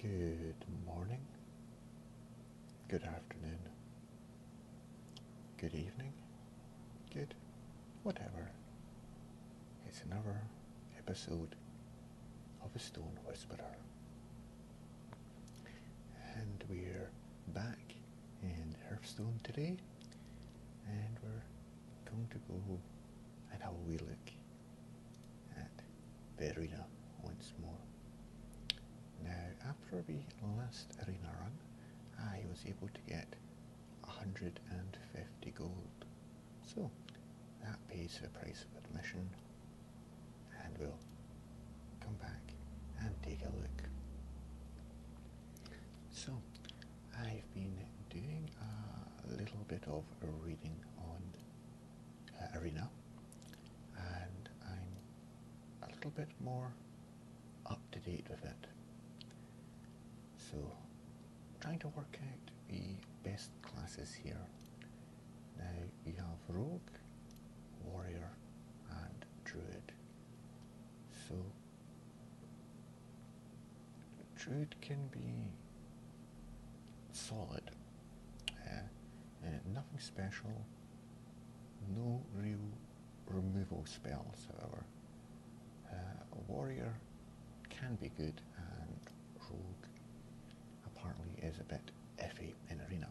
Good morning, good afternoon, good evening, good whatever. It's another episode of A Stone Whisperer. And we're back in Hearthstone today, and we're going to go and How a look at Verena once more. Now, after the last arena run, I was able to get 150 gold. So, that pays the price of admission, and we'll come back and take a look. So, I've been doing a little bit of reading on uh, Arena, and I'm a little bit more up to date with it. So, trying to work out the best classes here. Now we have Rogue, Warrior, and Druid. So, Druid can be solid. Uh, uh, nothing special. No real removal spells, however. Uh, a warrior can be good, and rogue apparently is a bit iffy in arena.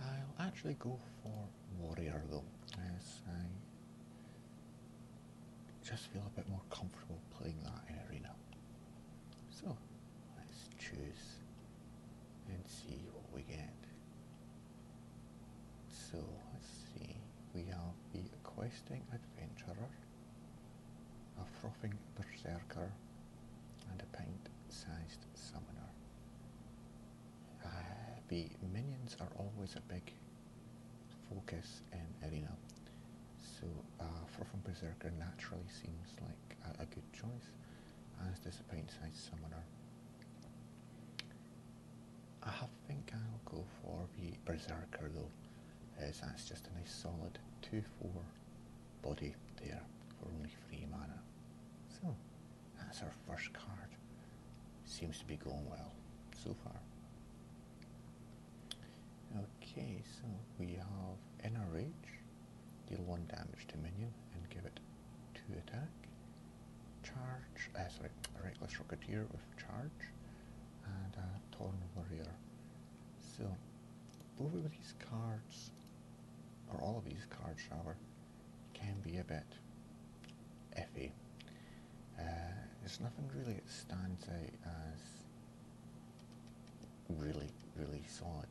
I'll actually go for warrior though, as I just feel a bit more comfortable playing that in arena. So let's choose and see what we get. So let's see, we have the questing adventurer, a frothing berserker, and a pint-sized summoner. Uh, the minions are always a big focus and arena. So uh, From Berserker naturally seems like a, good choice, as does a pint side summoner. I have think I'll go for the Berserker though, as that's just a nice solid 2-4 body there for only free mana. So, that's our first card. Seems to be going well so far. Okay, so we have Inner Rage, deal 1 damage to minion and give it 2 attack. Charge, uh, sorry, Reckless Rocketeer with Charge and a Torn Warrior. So, both of these cards, or all of these cards rather, can be a bit iffy. Uh, there's nothing really that stands out as really, really solid.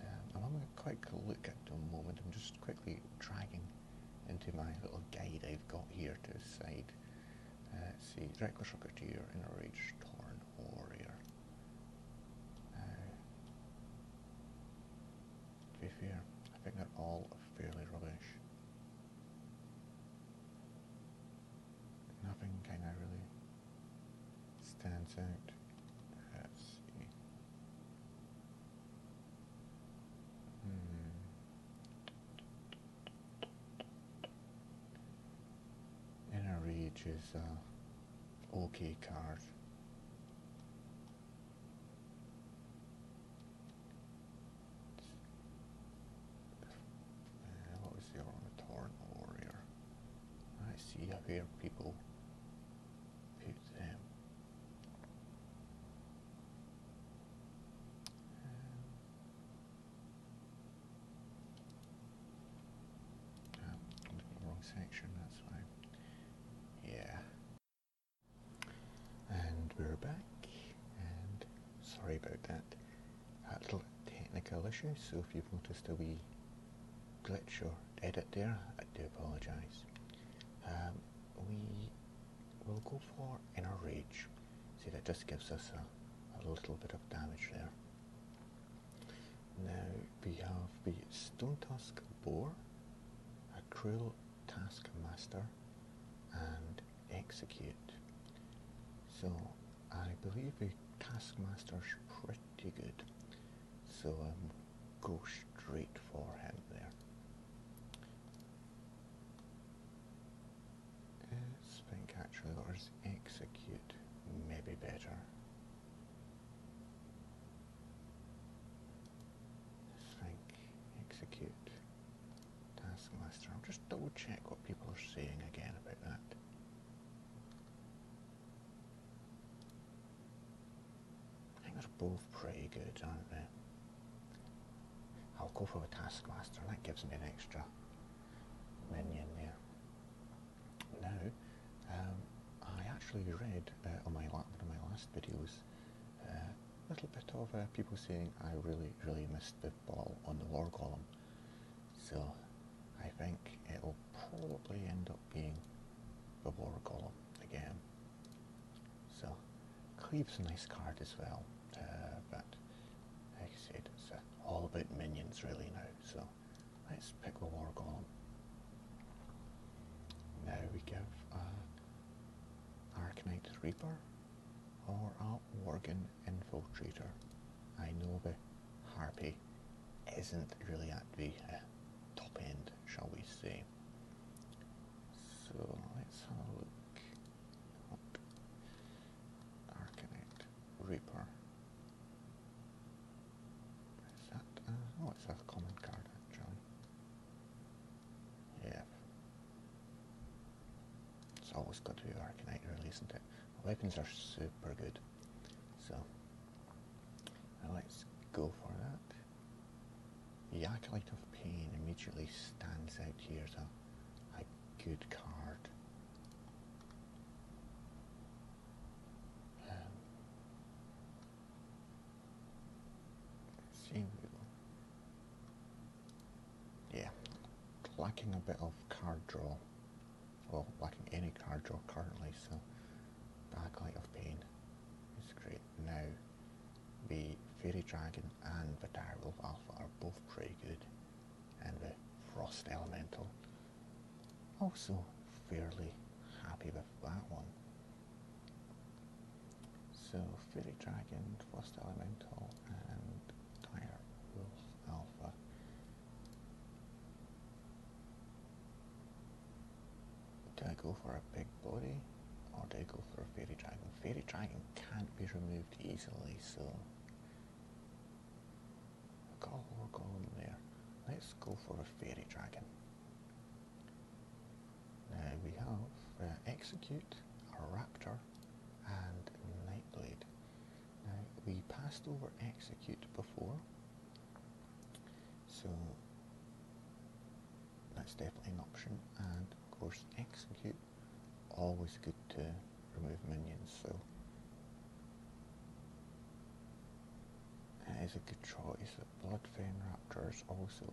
Um, I'm going to quick look at the moment. I'm just quickly dragging into my little guide I've got here to the side. Uh, let's see, Reckless Rocketeer, Inner Rage, Torn Warrior. Uh, to be fair, I think they're all fairly rubbish nothing kind of really stands out. Let's see. Hmm. Inner reach is a okay card. Uh, what was the arm Warrior? I see how here people pick them. Um, oh, wrong section, that's fine. Yeah. And we're back sorry about that, that little technical issue, so if you've noticed a wee glitch or edit there, I do apologise. Um, we will go for Inner Rage, see that just gives us a, little bit of damage there. Now we have the Stone task Boar, a Cruel Taskmaster, and execute. So I believe the Taskmaster's pretty good. So um, go straight for him there. let think actually or is execute maybe better. think execute. Taskmaster. I'll just double check what people are saying again about that. I think they're both pretty good, aren't they? I'll go for the Taskmaster. That gives me an extra minion there. Now, um, I actually read uh, on my one of my last videos uh, a little bit of uh, people saying I really, really missed the ball on the War Golem. So I think it'll probably end up being the War Golem again. So Cleve's a nice card as well, uh, but like I said, it's uh, all about minions really now. So let's pick the War Golem. Now we give uh, Arcanite Reaper or a Worgen infiltrator. I know the Harpy isn't really at the uh, top end, shall we say. So let's have a look at Reaper. Is that? Uh, oh, it's a common card actually. Yeah. It's always got to be Arcanite really, isn't it? Weapons are super good. So, let's go for that. The Acolyte of Pain immediately stands out here as a, good card. Um, yeah, lacking a bit of card draw. Well, lacking any card draw currently, so Backlight of Pain is great. Now, the Fairy Dragon and the Dire Wolf Alpha are both pretty good, and the Frost Elemental also fairly happy with that one. So, Fairy Dragon, Frost Elemental, and Dire Wolf do I go for a big body or do I go for a fairy dragon? Fairy dragon can't be removed easily, so I've got a war there. Let's go for a fairy dragon. Now we have uh, execute, a raptor, and nightblade. Now, we passed over execute before, so that's definitely an option. And of course, execute, always good to remove minions, so that is a good choice. Bloodfin Raptor is also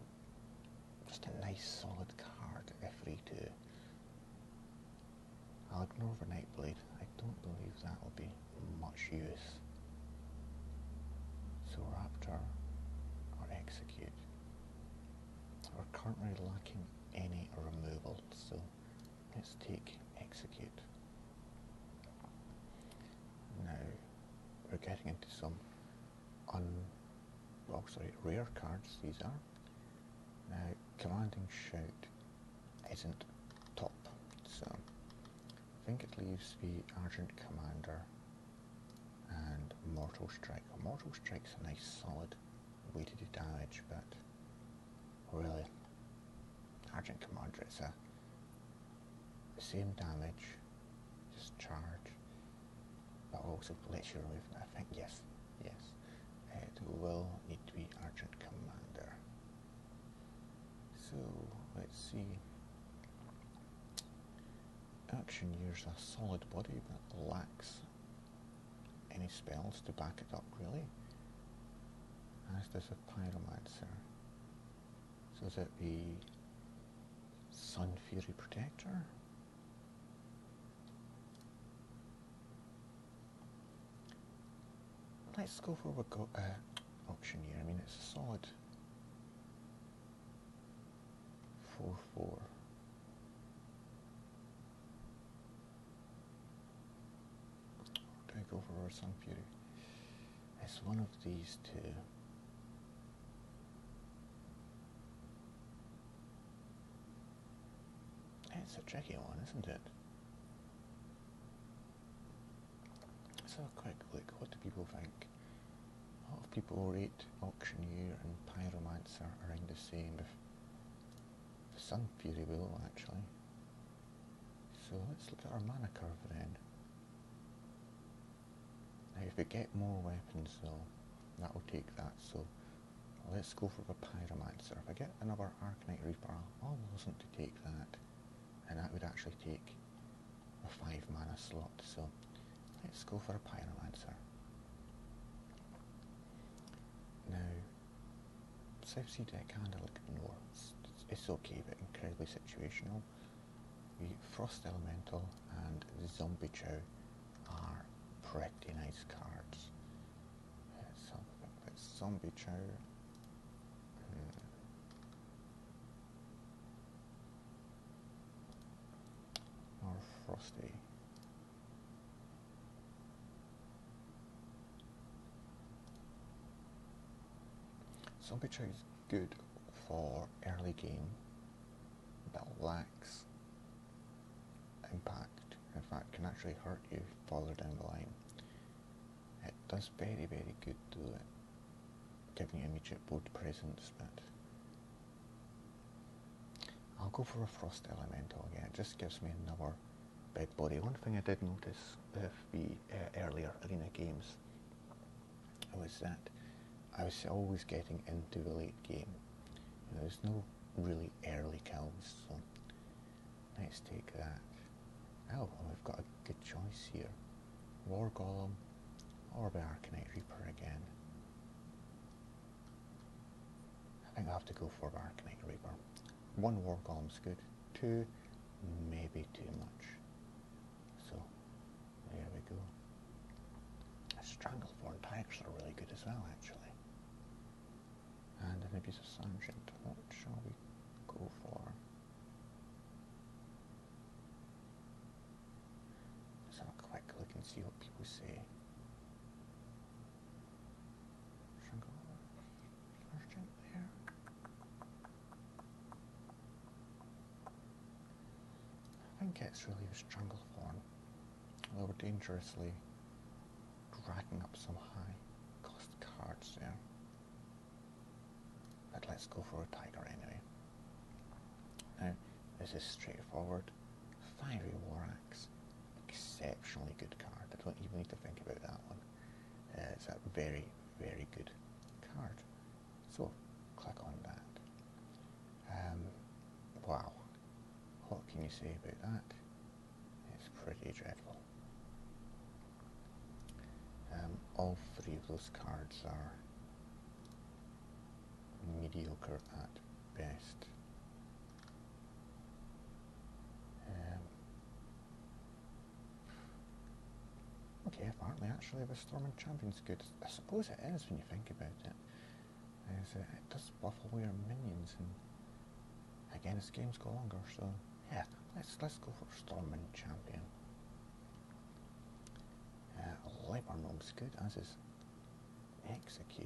just a nice solid card if two. I'll ignore the Nightblade. I don't believe that will be much use. So Raptor or Execute. We're currently lacking any removal, so let's take Execute. Now, we're getting into some un... well, sorry, rare cards these are. Now, Commanding Shout isn't top. So I think it leaves the Argent Commander and Mortal Strike. Mortal Strike's a nice solid way to do damage, but really, Argent Commander is a same damage, just charge, but also lets you remove. I think yes, Yes. It will need to be Argent Commander. So let's see. Action here's a solid body but lacks any spells to back it up really. As does a pyromancer. So is it the Sun Fury Protector? Let's go for what go uh, auctioneer. I mean, it's a solid four four. Take over or for our Sun Fury? It's one of these two. It's a tricky one, isn't it? Let's have a quick look. What do people think? A lot of people rate Auctioneer and Pyromancer around the same. Sun Fury will actually. So let's look at our mana curve then. Now if we get more weapons though, that'll take that. So Let's go for the Pyromancer. If I get another Arcanite Reaper, I'll wasn't to take that. And that would actually take a 5 mana slot, so let's go for a Pyromancer. Now, South Sea deck handle ignore. It's, it's okay, but incredibly situational. The Frost Elemental and the Zombie Chow are pretty nice cards zombie chair. Or frosty. Zombie chair is good for early game. That lacks impact in fact, can actually hurt you further down the line. It does very, very good to it, giving you immediate board presence, but I'll go for a Frost Elemental again. It just gives me another bed body. One thing I did notice with the uh, earlier arena games was that I was always getting into the late game. there's no really early kills, Let's take that. Oh, well, we've got a good choice here. War Golem or the Reaper again. I think I'll have to go for the Reaper. One War is good. Two, maybe too much. So, there we go. Strangleborn Tigers are really good as well, actually. And an Abyss Assumption. What shall we go for? Let's have a quick look and see what people say. First jump there. I think it's really a strangle form, although dangerously dragging up some high cost cards there. But let's go for a tiger anyway. Now, this is straightforward. Fiery War Axe. Exceptionally good card. I don't even need to think about that one. Uh, it's a very, very good card. So, click on that. Um, wow. What can you say about that? It's pretty dreadful. Um, all three of those cards are mediocre at best. Um, okay, apparently actually the Storming Champion's good. I suppose it is when you think about it. it does buff away our minions and again, as games go longer, so yeah, let's let's go for Storming Champion. Uh, Lepermog's good, as is Execute.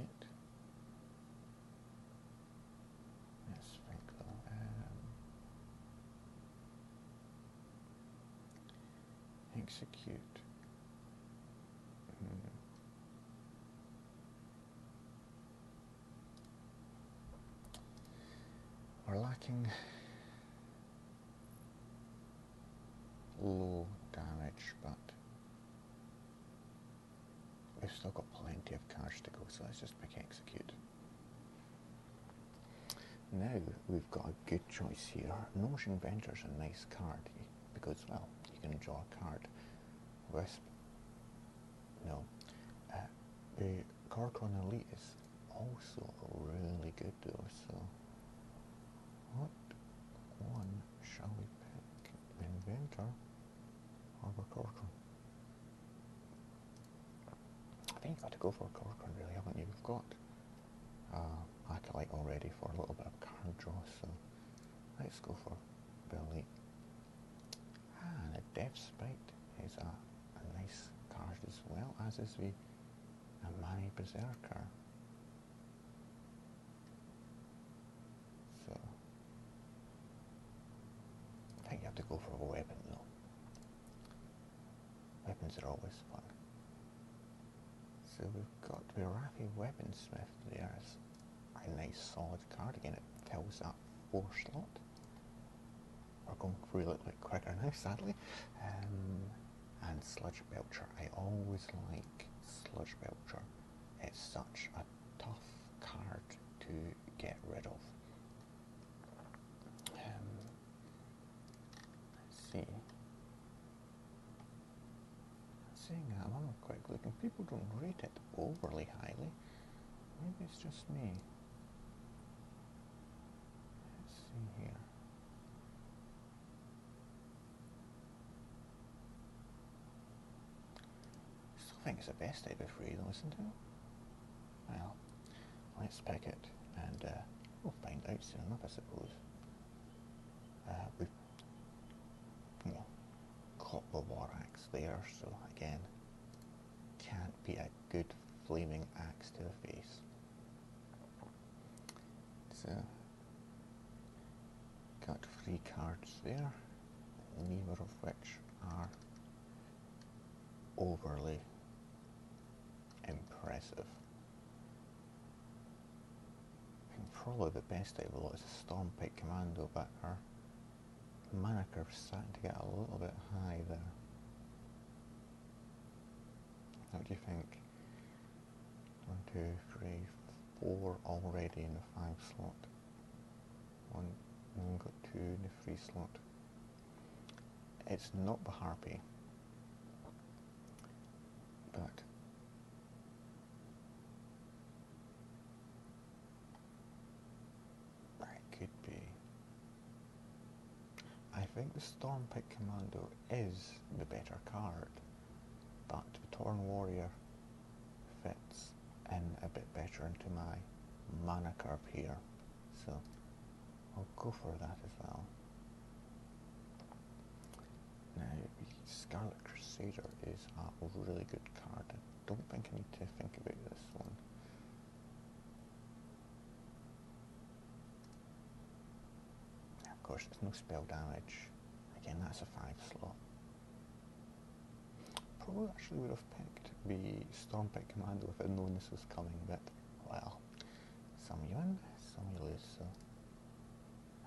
Let's think though. Um, execute. Hmm. We're lacking low damage, but we've still got plenty of cash to go, so let's just pick execute. Now we've got a good choice here. Notion is a nice card because, well, you can draw a card. Wisp no, uh, the Carcon Elite is also really good though. So, what shall we pick? Inventor or Corcoran? I think you have got to go for Corcoran, really, haven't you? You've got uh, Acolyte already for a little bit of card draw, so let's go for Belly Ah, the Death sprite is a, nice card as well, as is the Amani Berserker. So, I think you have to go for a weapon though. Weapons are always fun. So we've got the Rafi Weaponsmith there. It's a nice solid card. Again, it tells us that four slot. We're going through a little bit quicker now, sadly. Um, and Sludge Belcher. I always like Sludge Belcher. It's such a tough card to get rid of. Um, let's see. Saying that, I'm not quite looking. People don't rate it overly highly. Maybe it's just me. Let's see here. I Still think it's the best day of free to listen to. Well, let's pick it and uh, we'll find out soon enough, I suppose. Uh, we've you know, caught the Warax there, so again, can't be a good flaming axe to the face. So, got three cards there, neither of which are overly impressive. probably the best out of a lot is a Storm Pit Commando, but her moniker starting to get a little bit high there. What do you think? One, two, three, four already in the five slot. One, got two in the three slot. It's not the harpy, but that could be. I think the Storm Pit Commando is the better card, but the Torn Warrior fits in a bit better into my mana curve here, so I'll go for that as well. Now, Scarlet Crusader is a really good card. I don't think I need to think about this one of course, there's no spell damage. Again, that's a 5 slot. Probably actually would have picked the storm Stormpit Commando if I'd known this was coming, but well, some you win, some you lose, so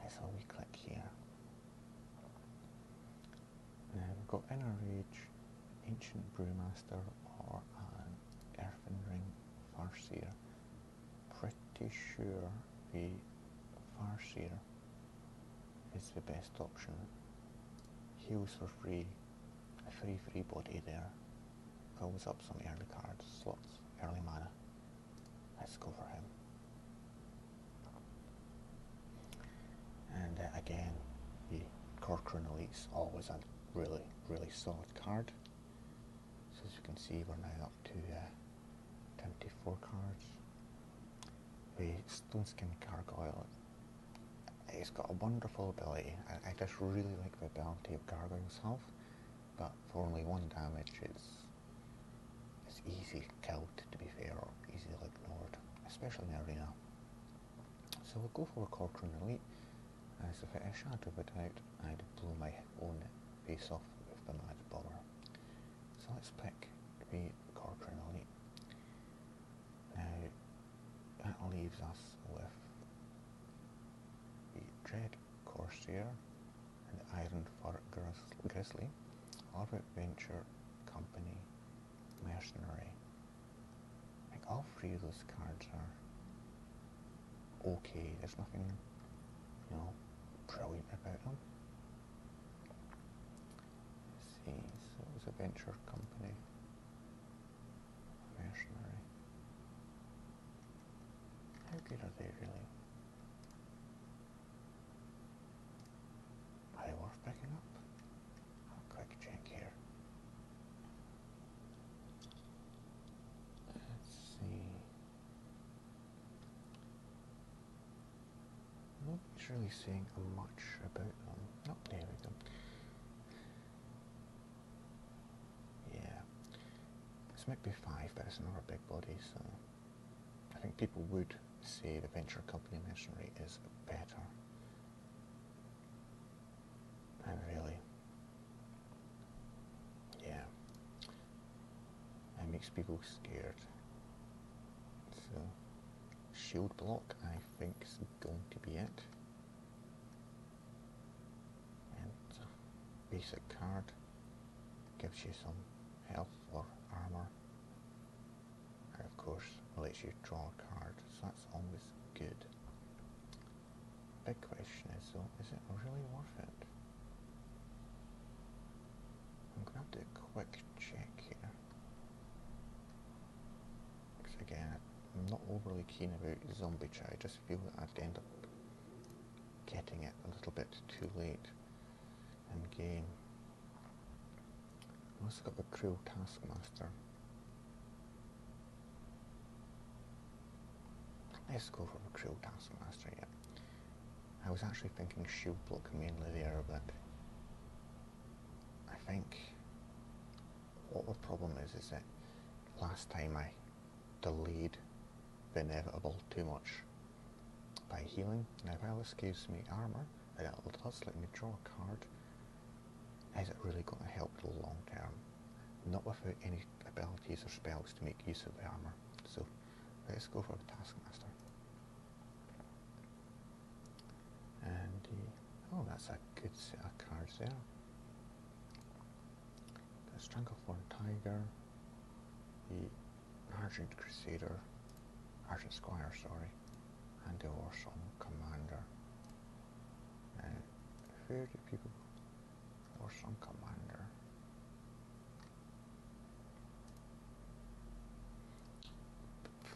that's all we click here. Now we've got Inner Rage, Ancient Brewmaster, or an Earthen Farseer. Pretty sure the Farseer is the best option. Heals for free, a free free body there. Fills up some early cards, slots, early mana. Let's go for him. And uh, again, the core Corcoran Elite's always a really, really solid card. So as you can see, we're now up to uh, twenty-four cards. The Stone Skin Gargoyle, it's got a wonderful ability. I, just really like the ability of Gargoyle itself. but for only one damage, it's, it's easy killed, to be fair, or easy to ignore, especially in the arena. So we'll go for a Corcoran Elite. As if I shadow it out, I'd blow my own face off with the Mad Bomber. So let's pick the Corcoran Elite. Now, that leaves us with the Dread Corsair and the Iron Fur Grizzly, our Venture Company, mercenary. Like all three of those cards are okay. There's nothing, you know, brilliant about them. let see, so it was a venture company. Mercenary. How good are they really? Are they worth picking up? I'll here. Let's see. Not really seeing much about them. Not there we go. Yeah. This might be five, but it's another big body, so I think people would say the venture company Machinery is better really, yeah, it makes people scared. So, shield block, I think, is going to be it. And uh, basic card gives you some health or armor, and of course lets you draw a card. So that's always good. Big question is though, is it really worth it? I'm gonna have to quick check here. Because again, I'm not overly keen about zombie chat, I just feel I'd end up getting it a little bit too late in game. I've also got the cruel taskmaster. Let's go for a cruel taskmaster, yeah. I was actually thinking shield block mainly there, but I think what the problem is is that last time I delayed the inevitable too much by healing. Now Alice gives me armor, and it does let me draw a card is it really going to help the long term? Not without any abilities or spells to make use of the armor. So let's go for the Taskmaster. And uh, oh, that's a good set of cards there. The Stranglethorn Tiger, the Argent Crusader, Argent Squire, sorry, and the Warsong Commander and 30 people or commander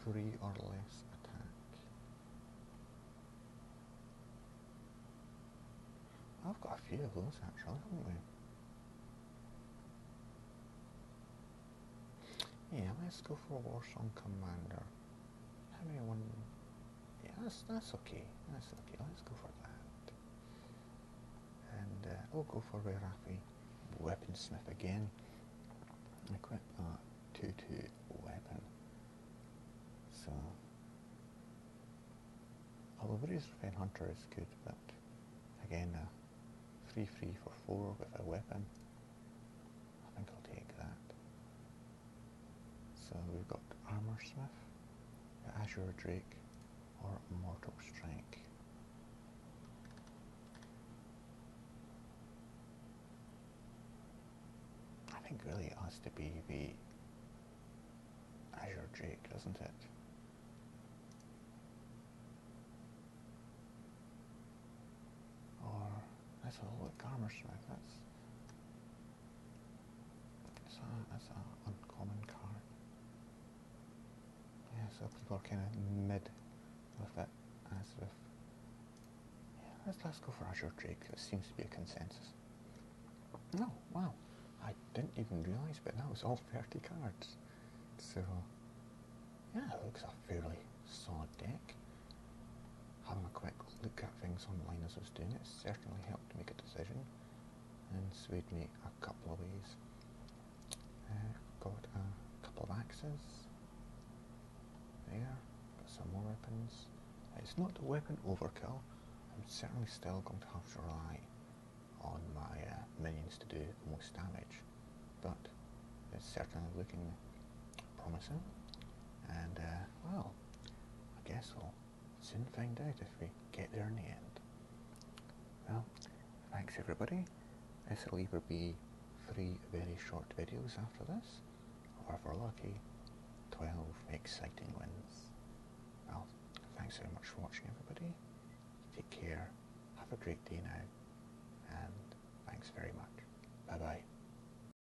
three or less attack I've got a few of those actually haven't we yeah, let's go for a Warsong Commander. I mean, one. Yeah, that's that's okay. That's okay. Let's go for that. And uh, I'll oh, go for Rerapi Weaponsmith again. Equip that two two weapon. So, although Breeze Raven Hunter is good, but again, uh, three three four with a weapon. I think I'll take that. So we've got Armor Smith, Azure Drake, or Mortal Strike. I think really it has to be the Azure Drake, doesn't it? Or that's a little commerce right? That's that's a, that's an uncommon card. Yeah, so people are kind of mid with it as with. Yeah, let's let's go for Azure Drake. It seems to be a consensus. No, oh, wow, I didn't even realise, but now it's all thirty cards. So yeah, it looks a fairly solid deck. Having a quick look at things online as I was doing it certainly helped make a decision and swayed me a couple of ways. Uh, got a couple of axes. There, got some more weapons. It's not a weapon overkill. I'm certainly still going to have to rely on my uh, minions to do the most damage, but it's certainly looking promising. And uh, well, I guess we will soon find out if we get there in the end. Well, thanks everybody. This will either be three very short videos after this, or if we're lucky, 12 exciting ones. Well, thanks very much for watching everybody. Take care, have a great day now, and thanks very much. Bye bye.